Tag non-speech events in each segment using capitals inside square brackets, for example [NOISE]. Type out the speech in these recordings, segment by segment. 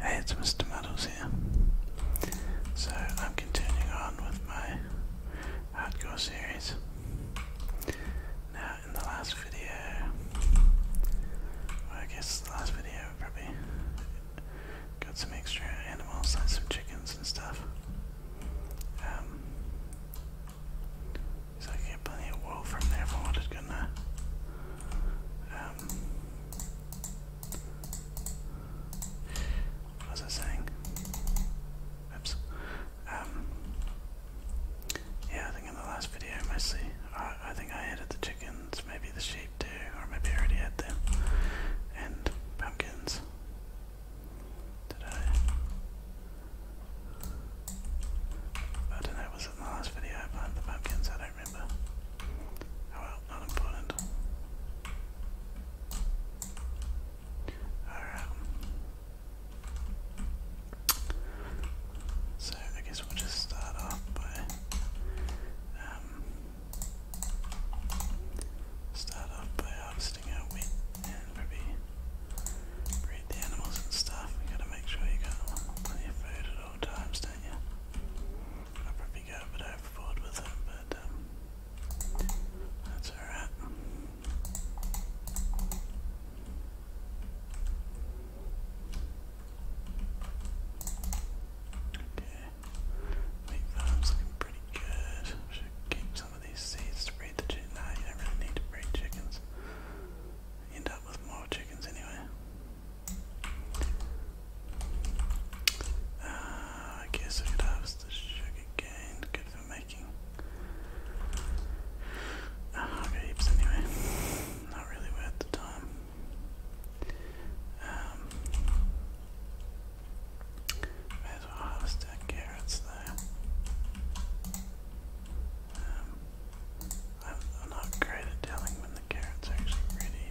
Hey, it's Mr. Muddles here. So I'm continuing on with my hardcore series. Now, in the last video, I guess the last video probably got some extra animals, like some chickens and stuff. Um, so I get plenty of wool from there if I wanted, couldn't um, what was I saying? Oops. Um, yeah, I think in the last video mostly, I, I think I added the chickens, maybe the sheep too, or maybe I already had them, and pumpkins. Did I? I don't know, was in the last video I planted the pumpkins? I Oh, well, not important. Alright. So I guess we'll just start off by um, start off by harvesting our wheat and probably breed the animals and stuff. You gotta make sure you got plenty of food at all times, don't you? I'll probably go a bit with it, but um, that's alright. Okay, wheat farm's looking pretty good. Should keep some of these seeds to breed the chickens. No, you don't really need to breed chickens. end up with more chickens anyway. Uh, I guess I could harvest the sugar cane. Good for making. Uh, i anyway. Not really worth the time. Um, as well harvest our carrots though. I'm, not great at telling when the carrot's actually ready.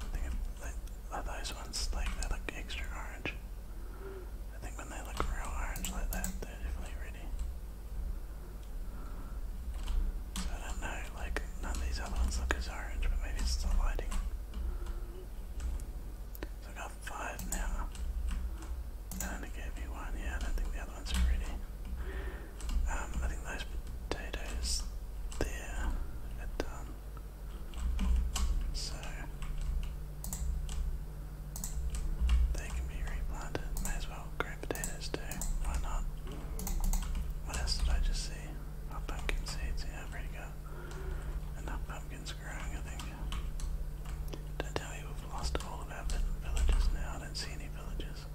I think I, those ones, like, they look extra orange. I think when they look real orange like that, they're definitely ready. So I don't know, like, none of these other ones look as orange, but maybe it's the lighting. So I got five now. That only gave me one, yeah, I don't think the other one's are ready. Um, I think those potatoes there are done. So they can be replanted. May as well grow potatoes too. Why not? What else did I just see? Oh, pumpkin seeds. Yeah, I've enough pumpkins growing, I think. Don't tell me we've lost all of our villages now. I don't see any villages.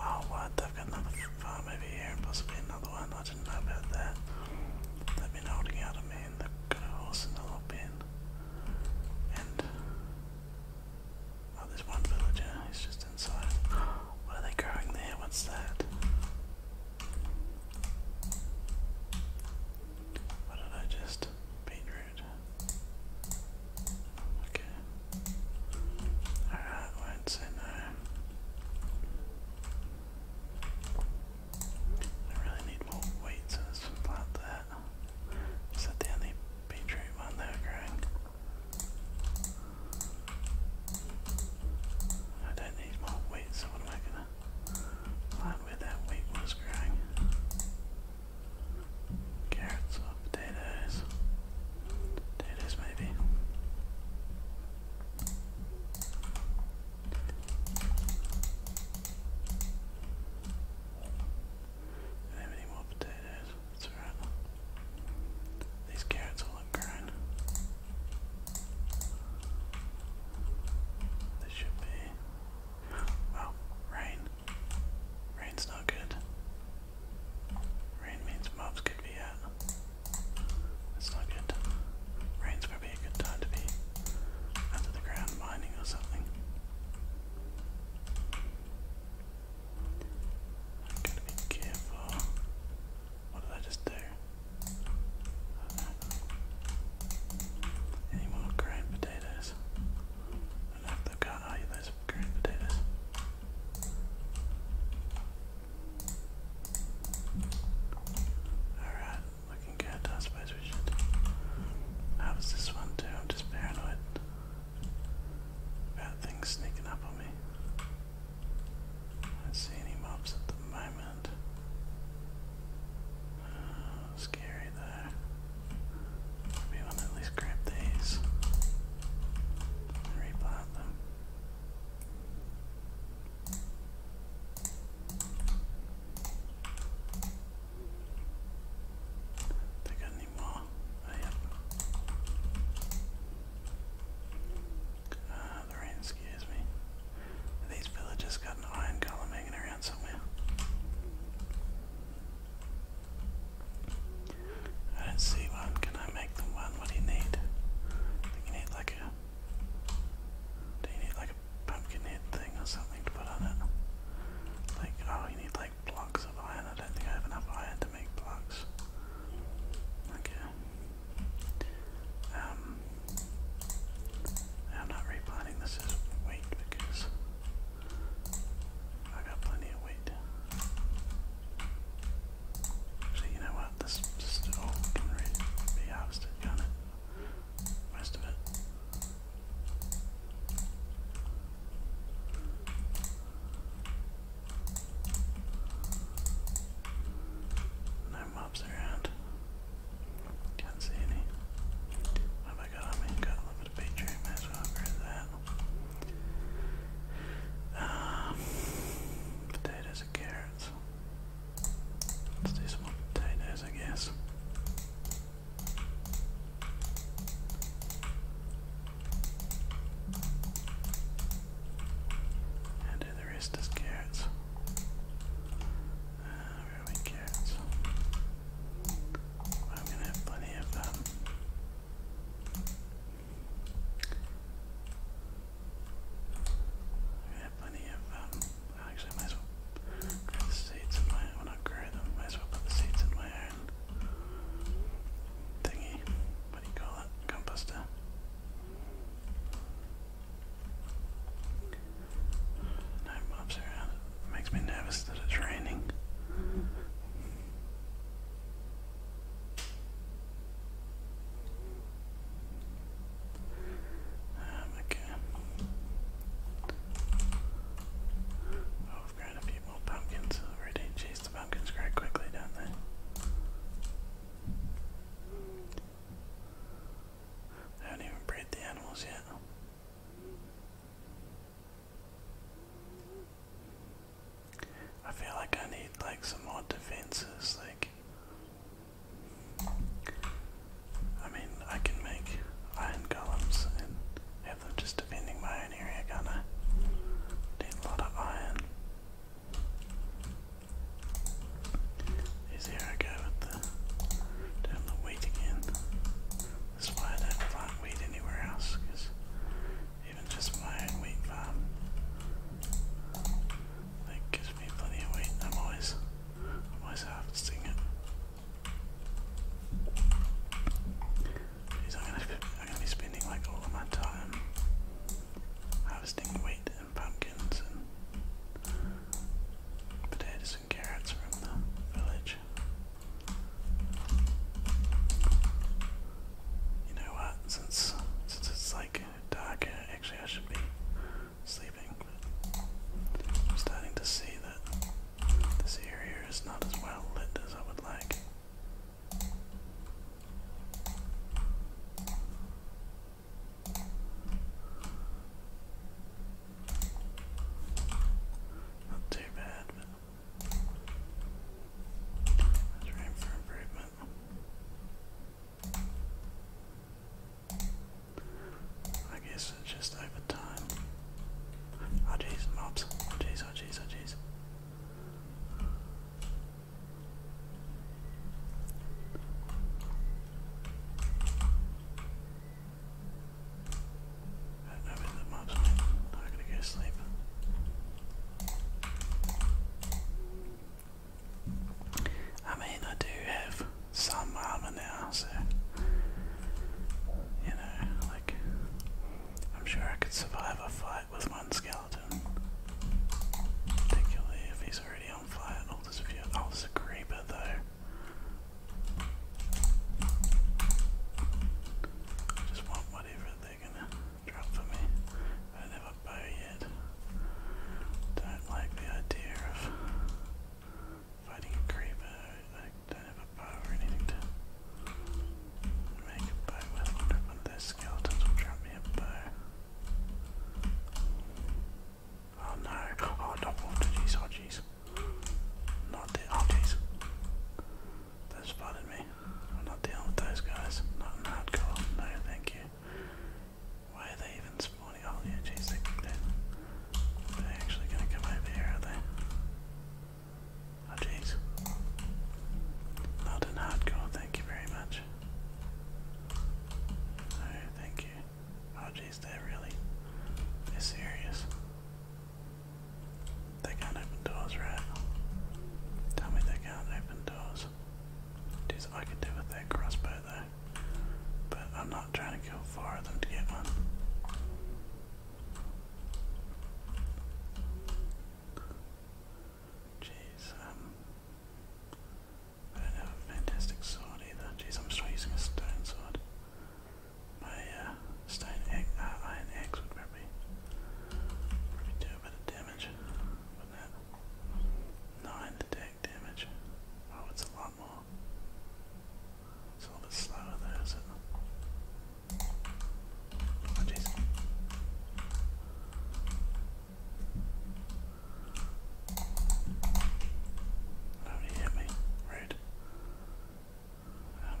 Oh, what? They've got another farm over here and possibly another one. I didn't know about that. They've been holding out on me and they've got a horse in the lob bin. And. Oh, there's one villager. He's just inside. What are they growing there? What's that? What did I just. Beetroot. Okay. Alright, I'd say uh, I really need more weights in this plant that the only beetroot one they growing? I don't need more wheat, so am I gonna plant where that wheat was growing? Carrots potatoes. Potatoes maybe. any more potatoes? That's alright. These carrots all look grown. They should be. Well, rain. Rain's not good. Rain means mobs could be out. That's not good. Rain's probably a good time to be under the ground mining or something. I've got to be careful. What did I just do? Any more grain potatoes? And have the car. Oh, yeah, green potatoes. Alright, looking good. I suppose we should. How this one, too? I'm just paranoid about things sneaking up on me. I see any mobs at the moment. Oh, scary though. Maybe I'll at least grab these replant more? Oh, Ah, the rain me. Uh, these villagers got an iron column hanging around somewhere. I don't see one. Can I make the one? What do you need? I you need like a. Do you need like a pumpkin head thing or something to put on it? Like, oh, you need like blocks of iron. I don't think I have enough iron to make blocks. Okay. Um. I'm not replanting this as wheat because I got plenty of wheat. Actually, you know what? This still can be harvested, can't Most of it. No mobs around. Can't see any. Have I got? I mean, got a little bit of beetroot. May as that. Um, potatoes and carrots. Let's potatoes, I guess. And do the rest as carrots. Uh, are we carrots? I'm gonna have plenty of um, I have plenty of, um, actually might as well grab the seeds in my, well not grab them, might as well put the seeds in my own thingy, what do you call it, composter. No mobs around, makes me nervous that it's raining. Um, okay. Oh, have got a few more pumpkins already. Jeez, the pumpkins grow quickly, don't I haven't even bred the animals yet. I feel like I need like some more defenses, like I mean I can make iron golems and have them just defending my own area, can't Need a lot of iron. Is here I go with the down the wheat again. That's why I don't plant wheat anywhere else, because even just my own wheat farm. That gives me plenty of wheat. I'm always, I'm always harvesting it. Because I'm gonna, I'm gonna be spending like all of my time harvesting wheat and pumpkins and potatoes and carrots from the village. You know what? Since since it's like darker, actually I should be sleeping. I'm starting to see that this area is not as well lit as I would like. Not too bad, there's for improvement. I guess just over time. Oh jeez, mobs. Oh jeez, oh jeez, oh jeez. I the mobs I'm gonna go sleep. I mean, I do have some armor now, so you know, like I'm sure I could survive a fight with one skeleton, particularly if he's already on fire. Oh, there's a few. Oh, there's a creeper though. just want whatever they're gonna drop for me. I don't have a bow yet. Don't like the idea of fighting a creeper. I don't have a bow or anything to make a bow with. I wonder if one of drop me a bow. Oh no. Oh, no. Oh, jeez. Oh, jeez. Not the. Oh, jeez. They spotted me. I'm not dealing with those guys. Not in hardcore. No, thank you. Why are they even spawning? Oh, yeah, jeez, they, they, actually gonna come over here, are they? Oh, jeez. Not in hardcore, thank you very much. No, thank you. Oh, jeez, they're really. they serious. They can't open doors, right? Tell me they can't open doors. Jeez, I could do with that crossbow though. But I'm not trying to kill four of them to get one. Jeez, um, I don't have a fantastic sword either. Jeez, I'm still using a stone sword. My uh, stone egg, uh, iron axe would be Probably, probably do a bit of damage, wouldn't it? damage. Oh, it's a lot more. It's a bit slower though, not it? Oh jeez. Oh, hit me. Rude. Um,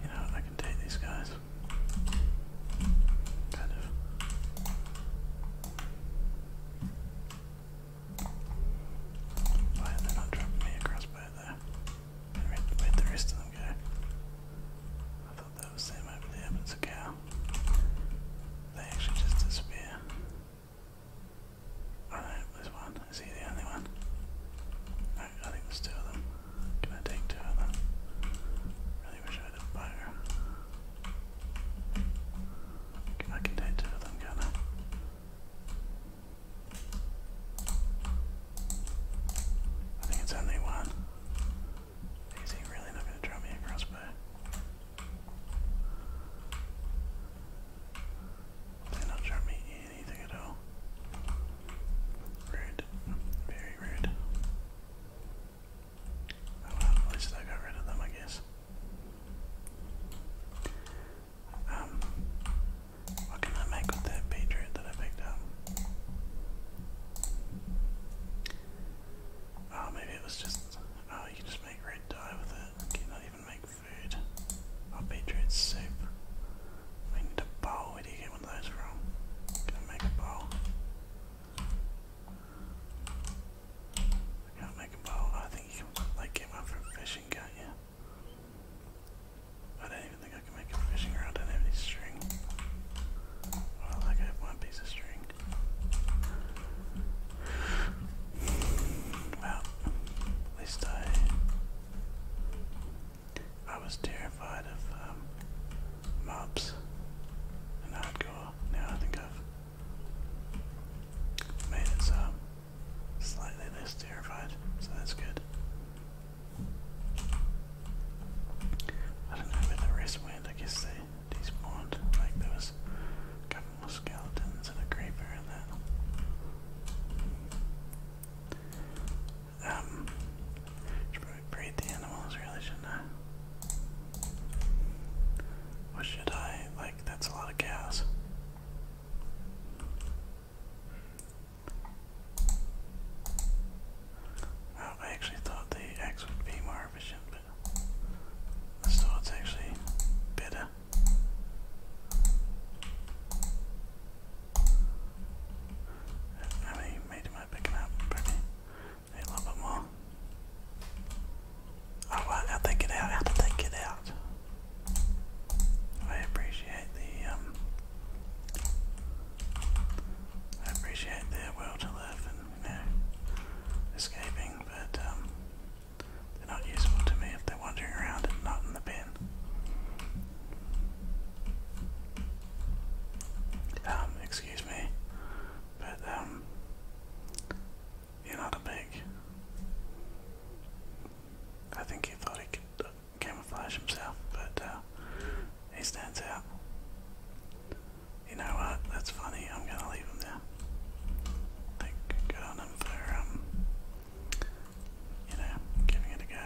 You know, I can take these guys. Kind of. Why are they not dropping me across by there? Where'd the rest of them go? that was them over there, it's a cow. They actually just disappear. Oh no, there's one. Is he the only one? I think there's two of them. Can I take two of them? Really wish I had a bow. I take two of them, can I think it's only one. Is he really not going to draw me a crossbow? They're not showing me anything at all. Rude. Very rude. at least I got rid of them, I guess. Um, what can I make with that beetroot that I picked up? Oh, maybe it was just. Oh, you can just make red dye with it. Can not even make food? I'll Oh, beetroot soup. We need a bowl. Where do you get one of those from? Can I make a bowl? can't make a bowl. I think you can like get one from fishing, can Yeah. I don't even think I can make a fishing rod. I don't have any string. Well, I got one piece of string. Well, at least I. I was terrified of um, mobs and hardcore. Now I think I've made it so slightly less terrified, so that's good. I don't know where the rest I guess they despawned. Like there was a couple more skeletons and a creeper and that. Um, should probably breed the animals, really, should I? Or should I? Like that's a lot of cows. I actually thought the X would be more efficient, but this sword's actually better. How many meat am picking up? Probably need a little bit more. Oh, how they get out? How they get out? I appreciate the, um, I appreciate their will to live you escaping, but um, they're not useful to me if they're wandering around and not in the bin. Um, excuse me, but um, you're not a big. I think he thought he could uh, camouflage himself, but uh, he stands out. You know what? That's funny. I'm gonna leave him there. I think good for um, you know, giving it a go.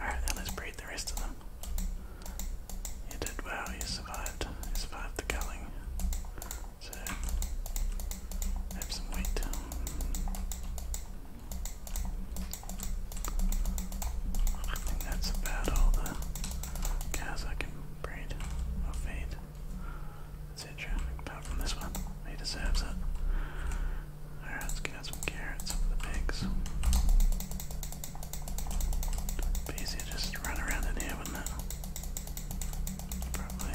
All right, then let's breed the rest of them. You did well. You survived. You survived the culling. So have some wheat. I think that's about all the cows I can breed or feed, etc. Apart from this one, he deserves it. Alright, let's get out some carrots for the pigs. it just run around in here, wouldn't Probably.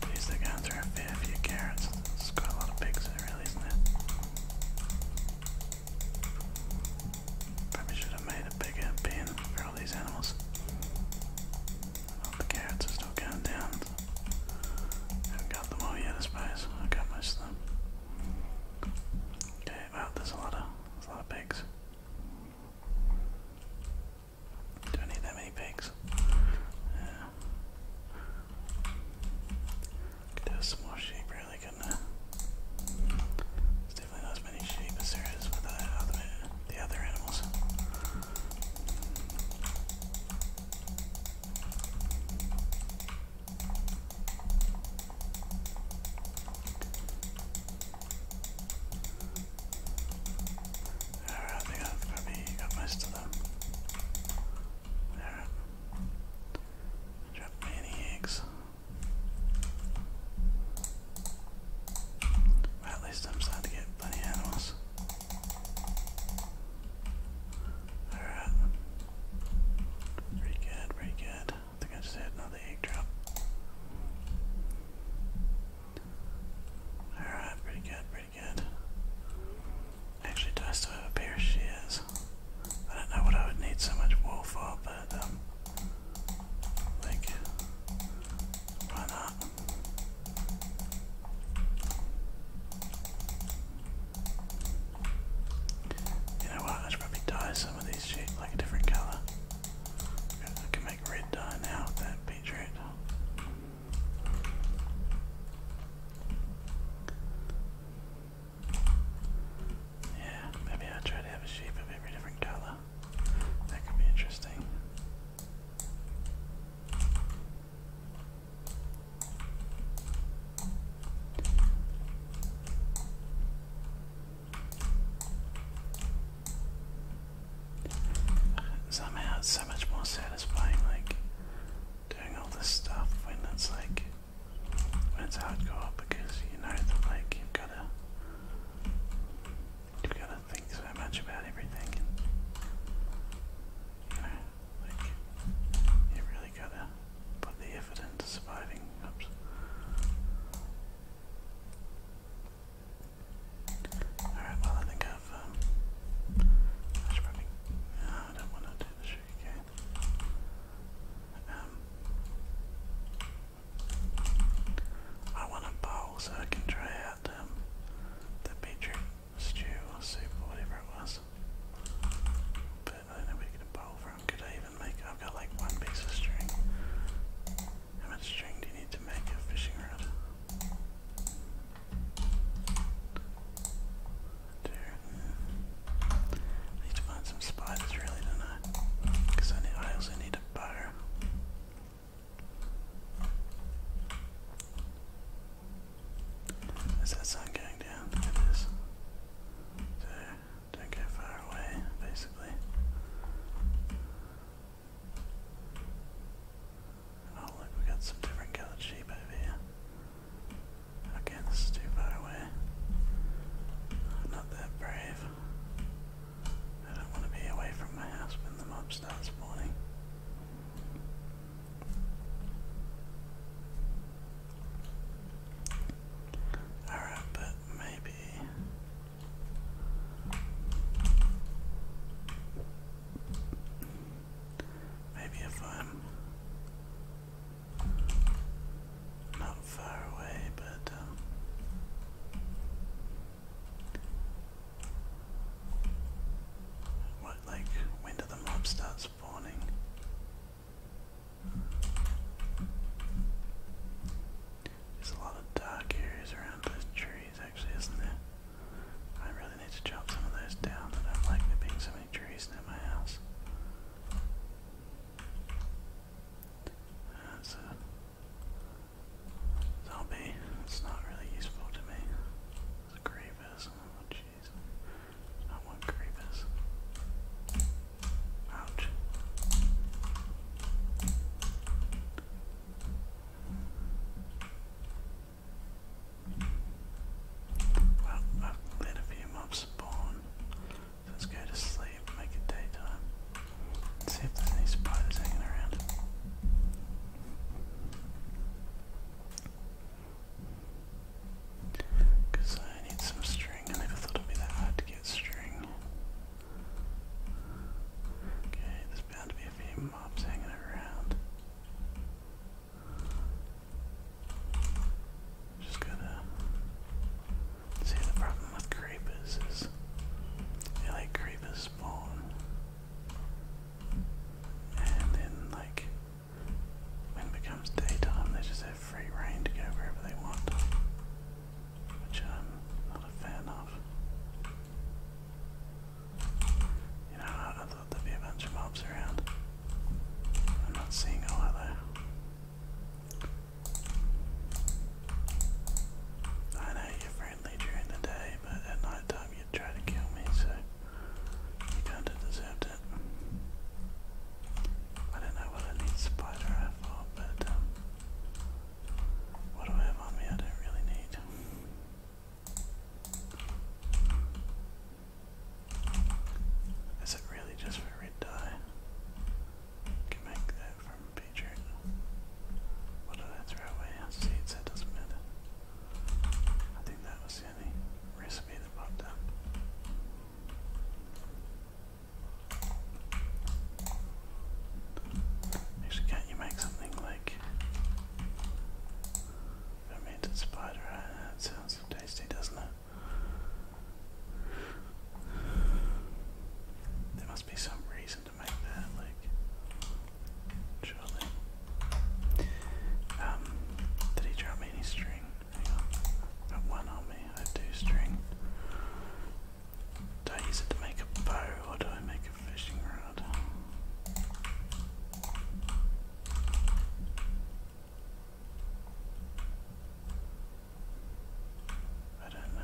Please, they're going a fair carrots. It's got a lot of pigs in it, not it? Probably should have made a bigger pen for all these animals. the carrots are still going down. Haven't got them all yet, I suppose. I got most of them. Okay, well, there's a lot of a lot of pigs. Do I need that many pigs? Uh, Look a small shape, really gonna. definitely not as many sheep as with the other, animals. Alright, Drop any eggs. at least I'm starting to get plenty animals. Alright. Pretty good, pretty good. I think I just had another egg drop. Alright, pretty good, Actually, do I still have a pair of shears? I don't know what I would need so much wool for, but, um, like, why not? You know what? I should probably dye some of these sheep like a different color. I can make red dye now that beetroot. Yeah, maybe i try to have a sheep of every different color. That could be interesting. Somehow it's so much more satisfying, like doing all this stuff when it's like when it's hardcore because you know that like you've gotta you've gotta think so much about everything and you know like you really gotta put the effort into surviving. Alright, well I think I've um, I should probably I don't want to do the um, I want a bowl so I can try out um, the beetroot stew or soup or whatever it was. But I don't know where get a bowl from. Could I even make I've got like one piece of string. How much string do you need to make a fishing rod? There. I need to find some spiders really, don't I? Because I, need, I also need a bow. Is that sun going down? It is. So, don't go far away, basically. Oh look, we got some different colored sheep over here. Okay, this is too far away. I'm not that brave. I don't want to be away from my house when the mob starts spawning. Alright, but maybe. Maybe if I'm not far away, but um, what like when do the mobs start spawning? There's a lot of dark areas around those trees, actually, isn't there? I really need to chop some of those down. I don't like there being so trees in my house. That's a zombie. It's not really useful to me. It's creepers. Oh jeez. I want creepers. Ouch. Well, I've let a few mobs spawn. Let's go to sleep, make it daytime. See if there's any spiders hanging around. Because I need some string. I never thought it'd be that hard to get string. Okay, there's bound to be a few mobs hanging around. Just gotta see the problem with creepers is they like creepers spawn and then like when it becomes daytime they just have free reign to go wherever they want. Which I'm not a fan of. You know, there'd be a bunch of mobs around. I'm not seeing a lot though. I know you're friendly during the day, but at night time you try to kill me, so you kinda deserved I don't know what I need spider eye for, but um, what do I have on me I don't really need. Is it really just for red dye? Can make that from Patriot. What did I throw away? Seeds, that doesn't matter. I think that was the only recipe that popped up. Actually, can you make something like fermented spider? Uh, it's sounds so tasty, doesn't it? There must be some reason to make that, like, surely. Um, did he drop me any string? Got one on me, I have string. Do I use it to make a bow or do I make a fishing rod? I don't know.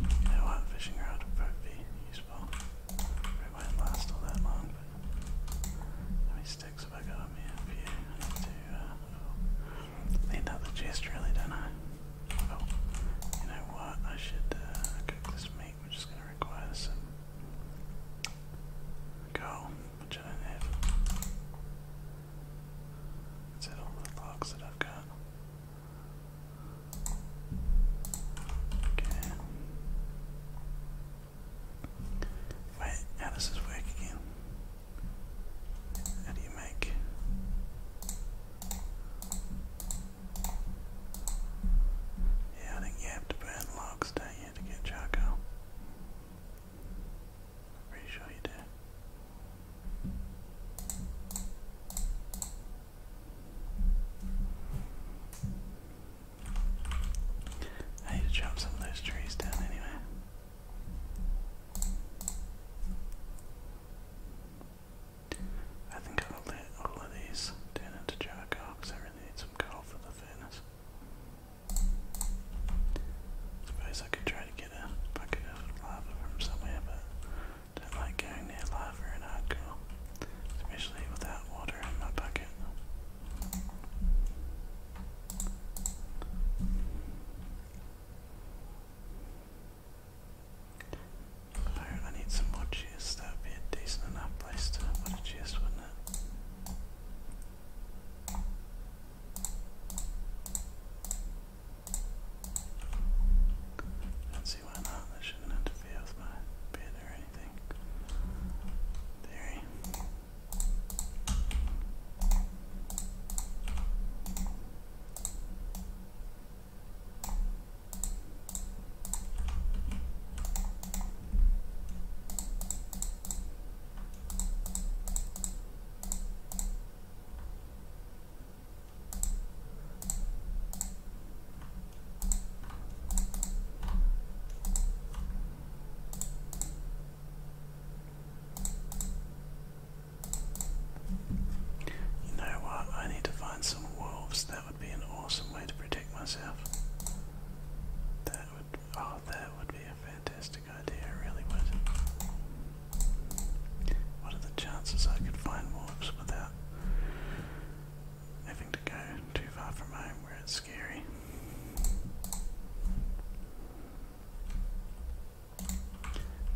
You know what? Fishing rod would probably be useful. It won't last all that long, but how many sticks have I got on me up here? I need to uh, oh. need out the chest really, don't I? Oh, you know what? I should uh, cook this meat we're just gonna require some coal, which I do the logs that I've got? Okay. Wait, how does this work again? How do you make yeah, I think you have to burn logs, don't you, to get charcoal? pretty sure you do. I need to chop some of those trees down anyway. I think I'll let all of these turn into charcoal because I I need some coal for the furnace. Suppose I could try to get a bucket of lava from somewhere, but don't like going near lava in hardcore, especially without water in my bucket. I need some more cheers, that would be a decent enough place to put a cheers, wouldn't it? don't see why not, that shouldn't interfere with my bed or anything. Theory. You know what? I need to find some wolves that would be an awesome way to protect myself. That would, oh, that would be a fantastic idea, it really would. What are the chances I could find warps without having to go too far from home where it's scary?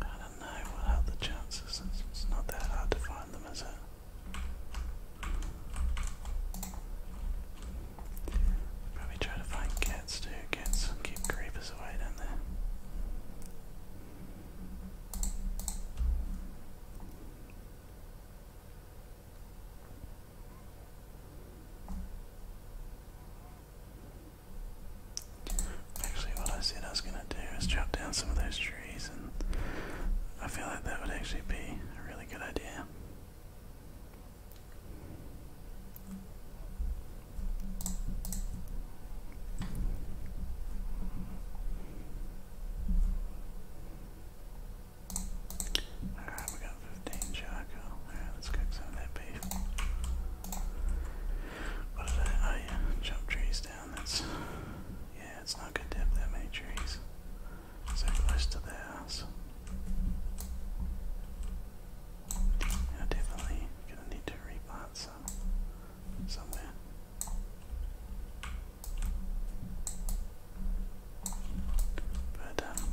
I don't know, what are the chances? it's not that hard to find them, is it? Probably try to find cats too. Cats keep creepers away down there. Actually, what I said I was going to do is chop down some of those trees. I feel like that would actually be a really good idea. Alright, we got 15 charcoal. Alright, let's cook some that beef. What did I? Oh, yeah, chop trees down. That's. Yeah, it's not good to have that many trees so close to their house. Yeah, definitely gonna need to replant some somewhere. But um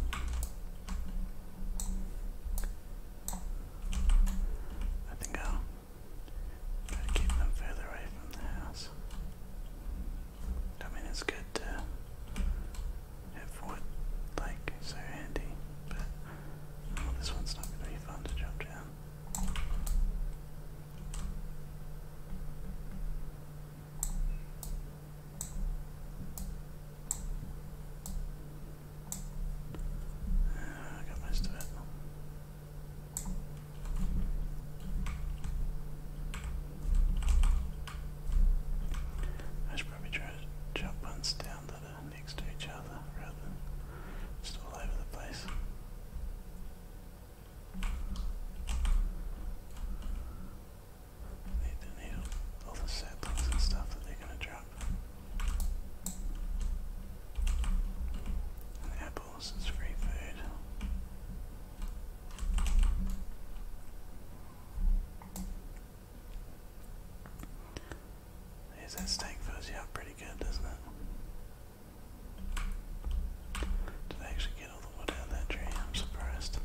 I think try to keep them further away from the house. I mean, it's good to have wood like so handy, but oh, this one's not going to be fun to jump down. Uh, I got most of it. I should probably try to jump ones down that are next to each other rather than just all over the place. Need to need all, all the saplings and stuff that they're gonna drop. apples is free food. Is that steak fuzzy out pretty good, doesn't it? Did I actually get all the wood out of that tree? I'm surprised.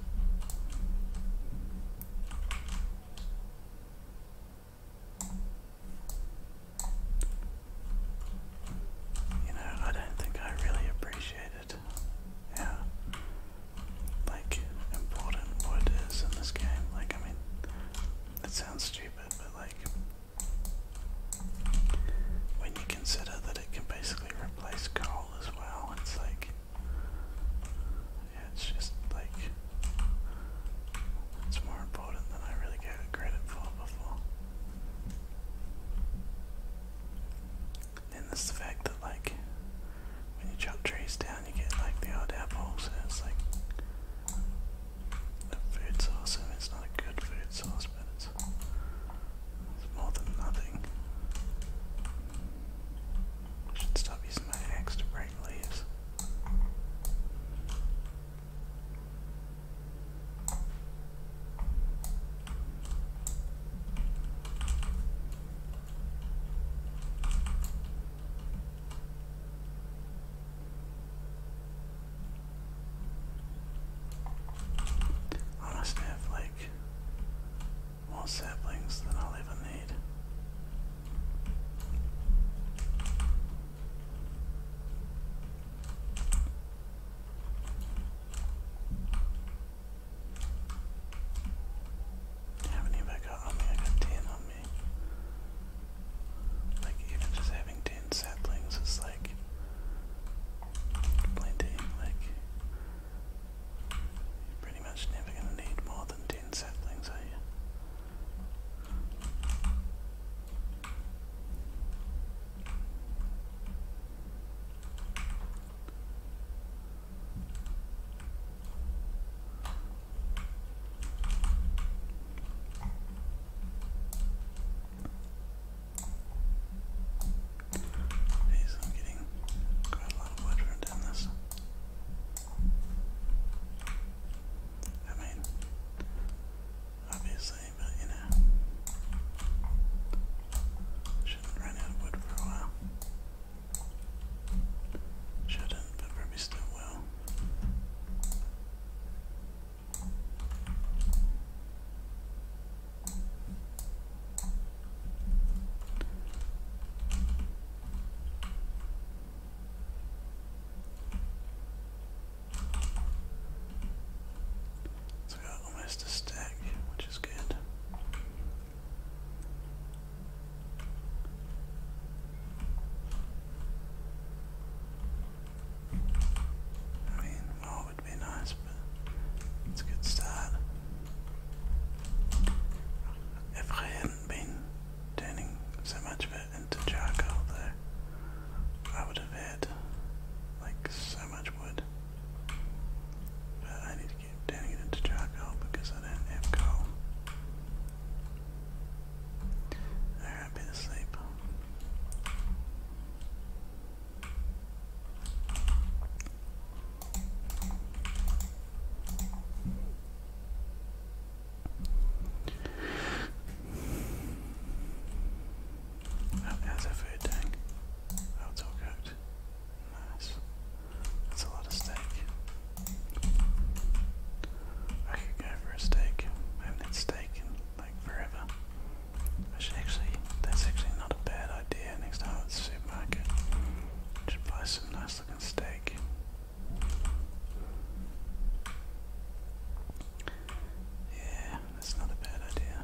You know, I don't think I really appreciate underrated. Yeah. Like important wood is in this game. Like I mean it sounds stupid, but like when you consider that it can basically replace coal as well, it's like yeah, it's just like it's more important than I really gave it credit for before. Then there's the fact that like when you chop trees down you get like the odd apples. so it's like a food source and it's not a good food source but it's, more than nothing. should stop using my axe to break leaves. I must have like more saplings than I'll ever need. How many have I got on me? I got 10 on me. Like, even just having 10 saplings is like plenty. Like, you're pretty much never going to need more than 10 saplings, are you? Jeez, I'm getting quite a lot of wood from doing this. I mean, obviously, but you shouldn't run out of wood for a while. Shouldn't, but probably still will. So I got almost a stack, which is good. I mean, more would be nice, but it's a good start. If I hadn't been turning so much of it into charcoal, though, I would have had like so much wood. But I need to get down into Chaco because I didn't have coal. I've been asleep. Oh, there's food tank. Oh, all cooked. Nice. That's a lot of steak. I could go for a steak. I haven't had steak in like forever. I should actually, that's actually not a bad idea. Next time at the supermarket, I buy some nice looking steak. Yeah, that's not a bad idea.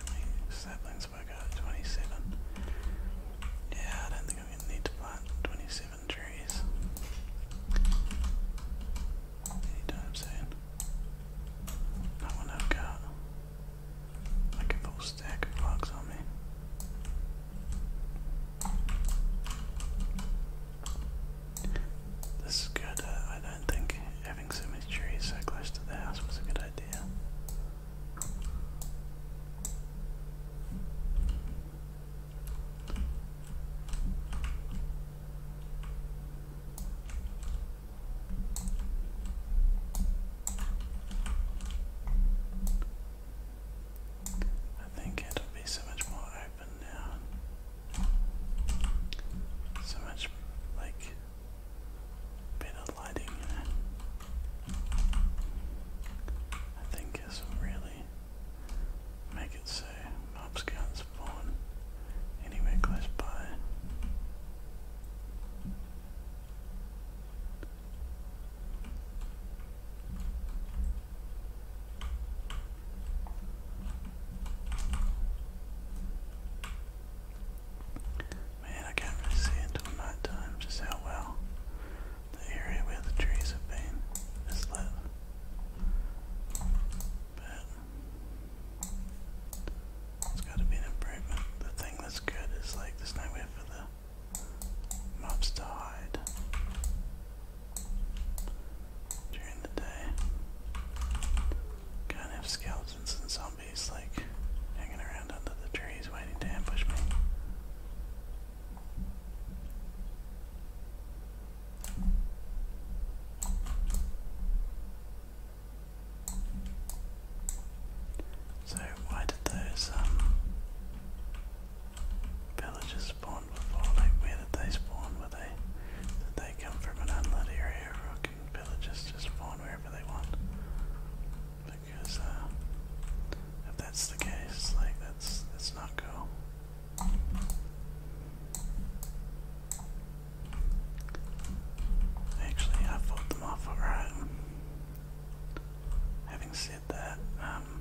Twenty saplings have I Twenty-seven. Yeah, I don't think I'm gonna need to plant twenty-seven trees anytime soon. That one I've got a stack of logs on me. This is good. Uh, I don't think having so many trees so close to the house was a good idea. I think it'll be so much more happen So much like better lighting, you I think this will really make it so mobs can spawn anywhere close by. Man, I can't really see until night just how well the area where the trees have been is lit. But it's got to be an improvement. The thing that's good is like there's nowhere for the mobs to hide during the day. Kind of skeletons and zombies like hanging around under the trees waiting to ambush me. So why did those um, Villagers spawned before, like where did they spawn? Were they did they come from an unlit area villagers just spawn wherever they want? Because uh, if that's the case, like that's that's not cool. Actually I fought them off alright. Having said that, um,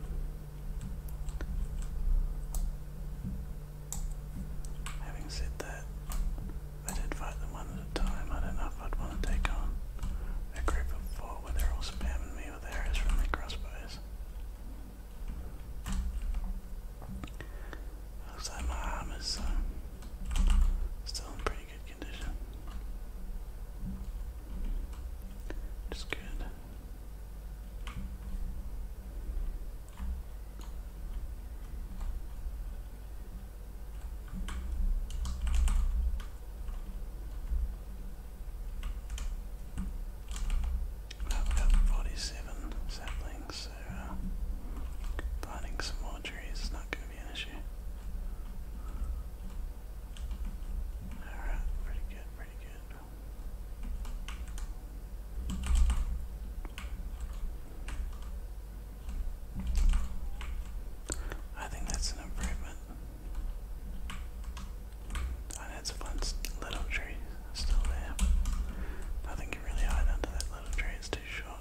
Having said that, I did fight them one at a time. I don't know if I'd want to take on a group of four where they're all spamming me with arrows from their crossbows. Looks like my armor's uh, still in pretty good condition. Just good i 47 saplings, so uh, planting some more trees is not going to be an issue. Alright, pretty good, pretty good. I think that's an improvement. And it's a little tree still there. I think you really hide under that little tree, it's too short.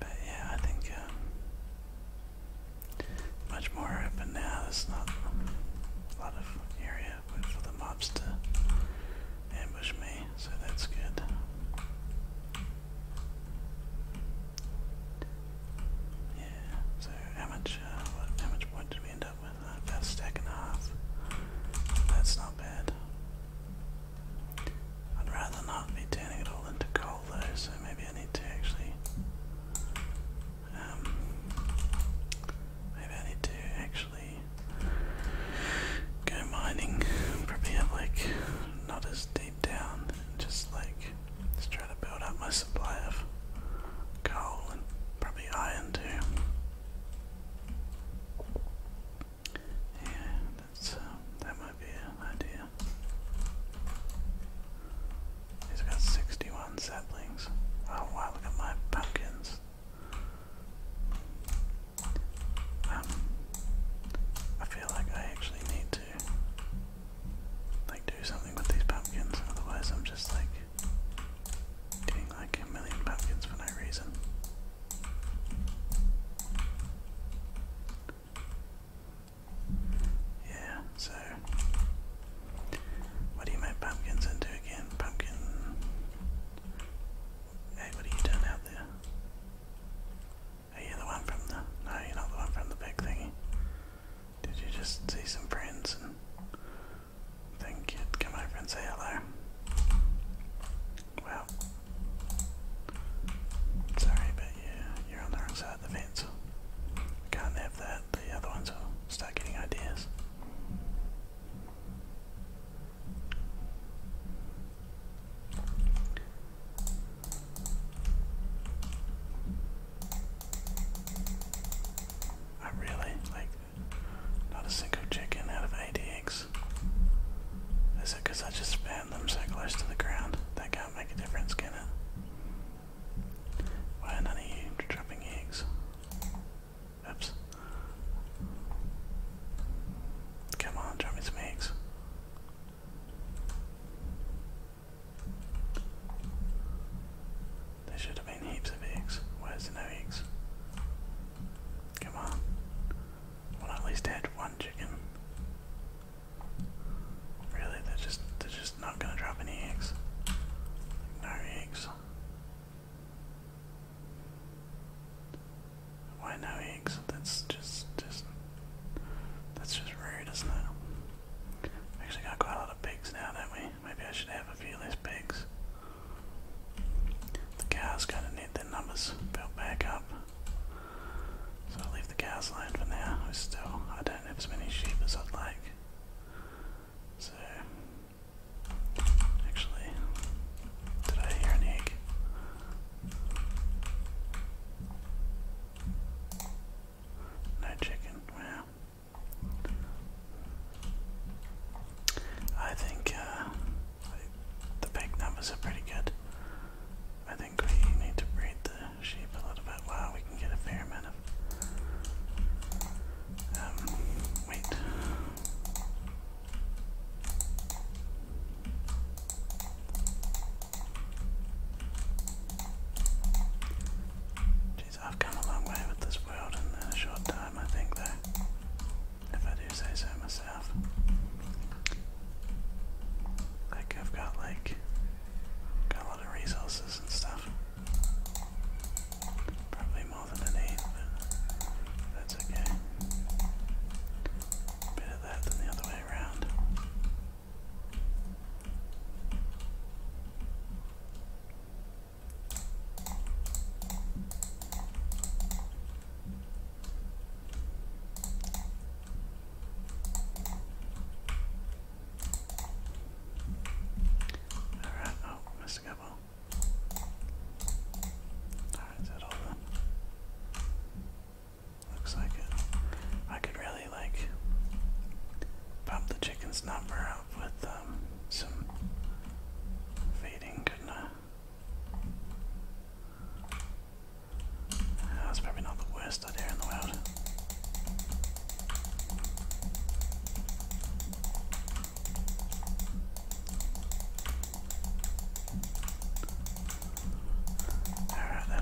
But yeah, I think um, much more open now. There's not a lot of area for the mobs to ambush me, so that's good. Yeah, so how much, uh, what, how much point did we end up with? Uh, about a stack and a half. That's not bad. I'd rather not be turning it all into coal though, so maybe I need to actually um, maybe I need to actually go mining, probably like not as deep down, just like just try to build up my supply of coal and probably iron too. Yeah, that's um, that might be an idea. He's got 61 saplings. Oh wow, look at my pumpkins. Um, I feel like I actually need to like do something with these pumpkins, otherwise I'm just like doing like a million pumpkins for no reason. Yeah, so what do you make pumpkins into again? Pumpkin Hey, what are you doing out there? Are you the one from the no, you're not the one from the big thingy. Did you just see some friends and think you'd come over and say hello? Well, sorry, but yeah, you're on the wrong side inside uh, the fence. Can't have that, the other ones will start getting ideas. I really like not a single chicken out of ADX. Is it because I just spammed them so close to the ground? That can't make a difference, can it? Why are none of you dropping eggs? Oops. Come on, drop some eggs. There should have been heaps of eggs. Why is no eggs? Come on. Well, at least add one chicken. Really, they're just they're just not gonna drop any eggs. No eggs. Why no eggs? That's just just that's just rude, isn't it? actually got quite a lot of pigs now, don't we? Maybe I should have a few less pigs. The cows kind of need their numbers built back up. So I'll leave the cows alone for now. I still, I don't have as many sheep as I'd like. So, actually, did I hear an egg? No chicken, wow. I think uh, the big numbers are pretty good. I think we need to breed the Oh, shape a little bit. Wow, we can get a fair amount of. Um, wait. I've come a long way with this world in a short time, I think, though. If I do say so myself. Like, I've got like Got a lot of resources and stuff. Probably more than I need, but that's okay. Better that than the other way around. Alright, oh, missed a couple. is that all Looks like it. I could really like pump the chicken's number up with some feeding, That's probably not the worst Alright, that'll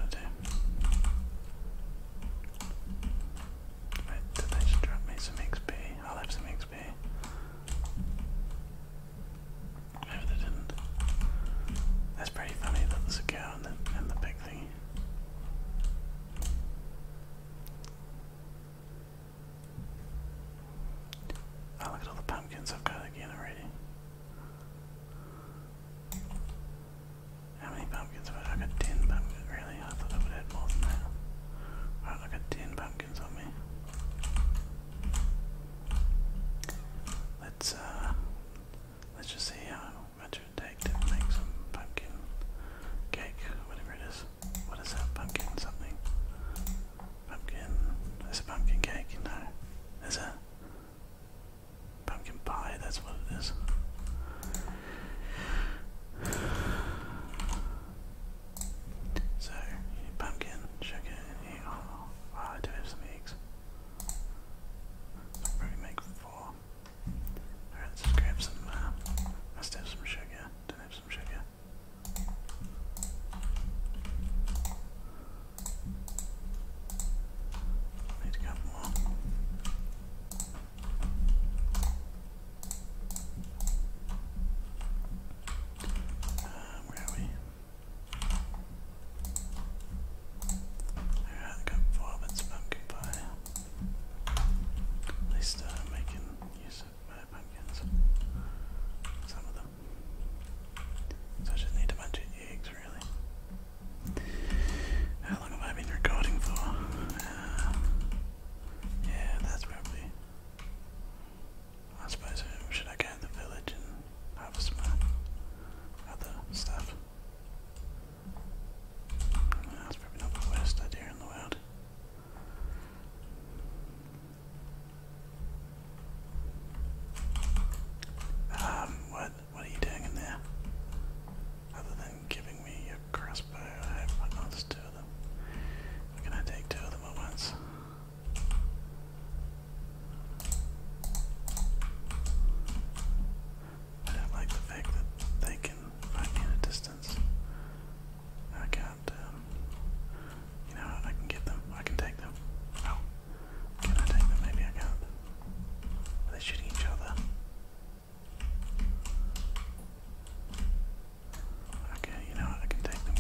do. did they just drop me some XP? I'll have some XP. Maybe they didn't. That's pretty funny that there's a cow and the, and thing. Oh, look at all the pumpkins I've got again already. How many pumpkins I got? I got 10 pumpkins, really? I thought I would add more than that. Alright, I got 10 pumpkins on me. Let's, uh, let's just see how much take to make some pumpkin cake, whatever it is. What is that? Pumpkin something? Pumpkin. Is it pumpkin cake? No. Is it? Pumpkin pie, that's what it is. So, pumpkin, sugar, and you. wow, oh, I do have some eggs. I'll make four. Alright, let's grab some, uh, I still have some sugar. do some sugar. Need to get more. Uh, where are we? Alright, I got four bits of pumpkin pie. At least uh, making use of pumpkins. Some of them. So I just need a bunch of eggs, really. How long have I been recording for? Uh, yeah, that's probably. I suppose, should I go to the village and harvest my other stuff? That's probably not the worst idea in the world. Um, what what are you doing in there? Other than giving me your crossbow, I have what not just two them. can I take two of them at once? I like the fact that they can find me distance. I can um, you know, I can get them, I can take them. can I take them? Maybe I can't. Are shooting each other? Okay, you know I can take them,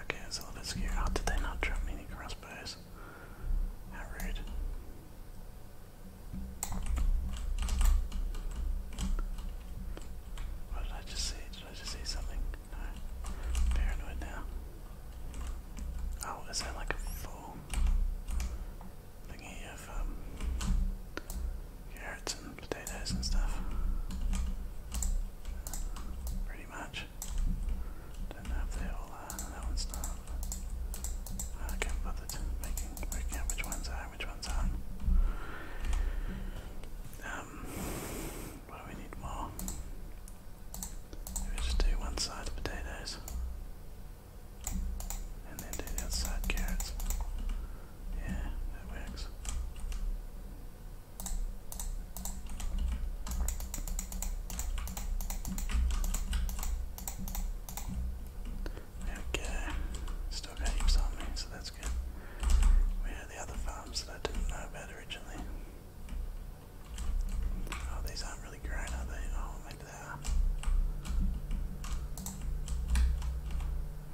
Okay, it's a little bit scary. How oh, did they not drop me any crossbows? How rude. What did I just see? Did I just see something? No. Paranoid now. Oh, is that like a full thingy of um, carrots and potatoes and stuff. Pretty much. Don't know if they all That one's not. I can't bother to making working out which ones are, which ones aren't. Um, well, we need more. Maybe just do one side of potatoes, and then do the other side carrots. Yeah, that works. Okay, still got heaps so that's good. Where are the other farms that I didn't know about originally? Oh, these aren't really grown, are they? Oh, maybe they are.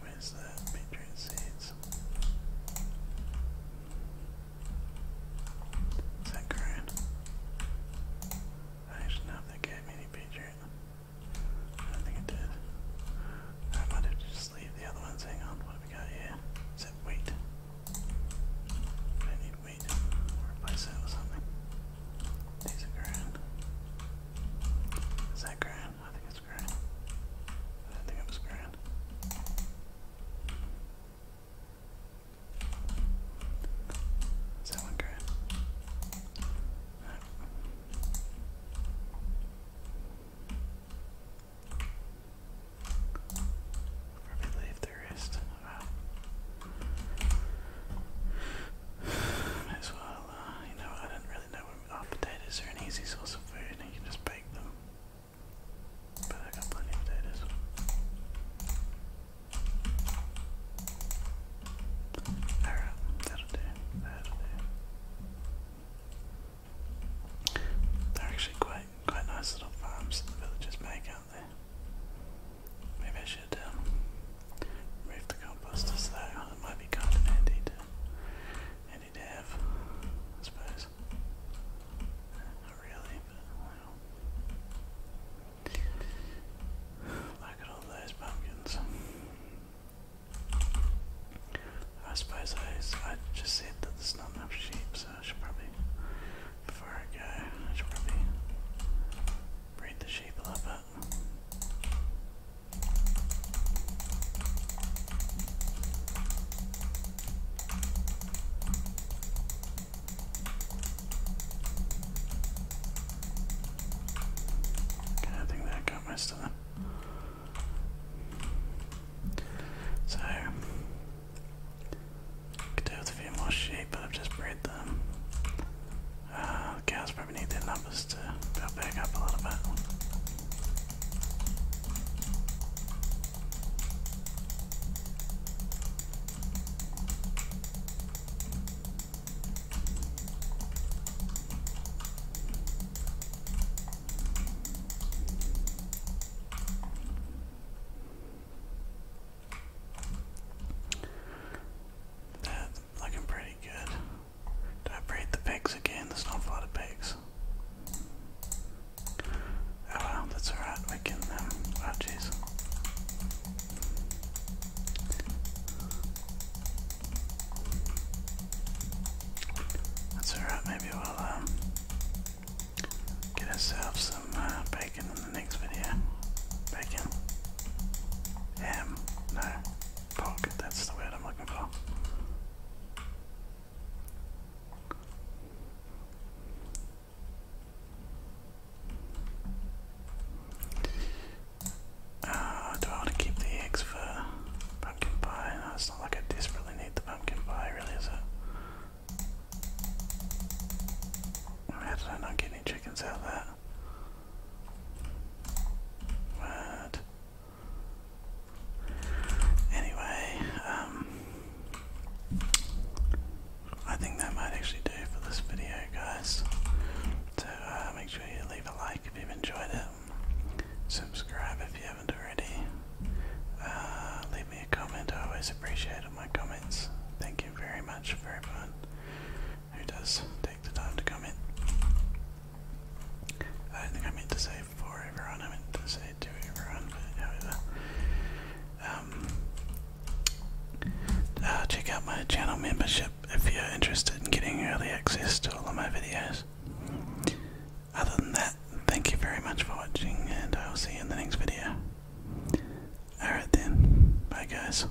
Where's that? Patron seeds. Is that current? I actually don't think I have I think it did. I might have just leave the other ones. Hang on, what we got here? Is that wheat? I need wheat. Replace that with something. These are ground. Is that ground? I think it's grand. I think it was grand. Is grand? Right. Probably leave the [SIGHS] as well, uh, you know, I didn't really know oh, potatoes are an easy source of food and you can just bake them. But I got plenty of potatoes. Alright, that'll do. That'll do. They're actually quite quite nice little farms that the villagers make, aren't Maybe I should um, Remove the composters though, it might be kind of handy to, handy to have, I suppose. Not really, but Look at all those pumpkins. I suppose I, just said that there's not enough sheep, so I should probably, before I go, I should probably breed the sheep a little bit. I think that got most So, could do with a few more sheep, but I've just bred them the uh, cows probably need their numbers to go back up a little bit. That's looking pretty good. Did I breed the pigs again? There's not a lot of pigs. Oh well, that's alright, we can um, oh jeez. That's alright, maybe we'll um get ourselves some uh, bacon in the next video. Bacon. Ham, no. Punk, that's the word I'm looking for. Uh, do I want to keep the eggs for pumpkin pie? No, not like I desperately need the pumpkin pie, really, is it? How did I not get any chickens out of that. Anyway, um, I think that might actually do for this video, guys. So uh, make sure you leave a like if you enjoyed it. Subscribe if you haven't already. Uh, leave me a comment. I always appreciate all my comments. Thank you very much for everyone who does take the time to come in. I don't think I meant to say four overrun, I meant to say two overrun, but however. Um, uh, check out my channel membership if you're interested in getting early access to all of my videos. Other than that, thank you very much for watching, and I will see you in the next video. Alright then, bye guys.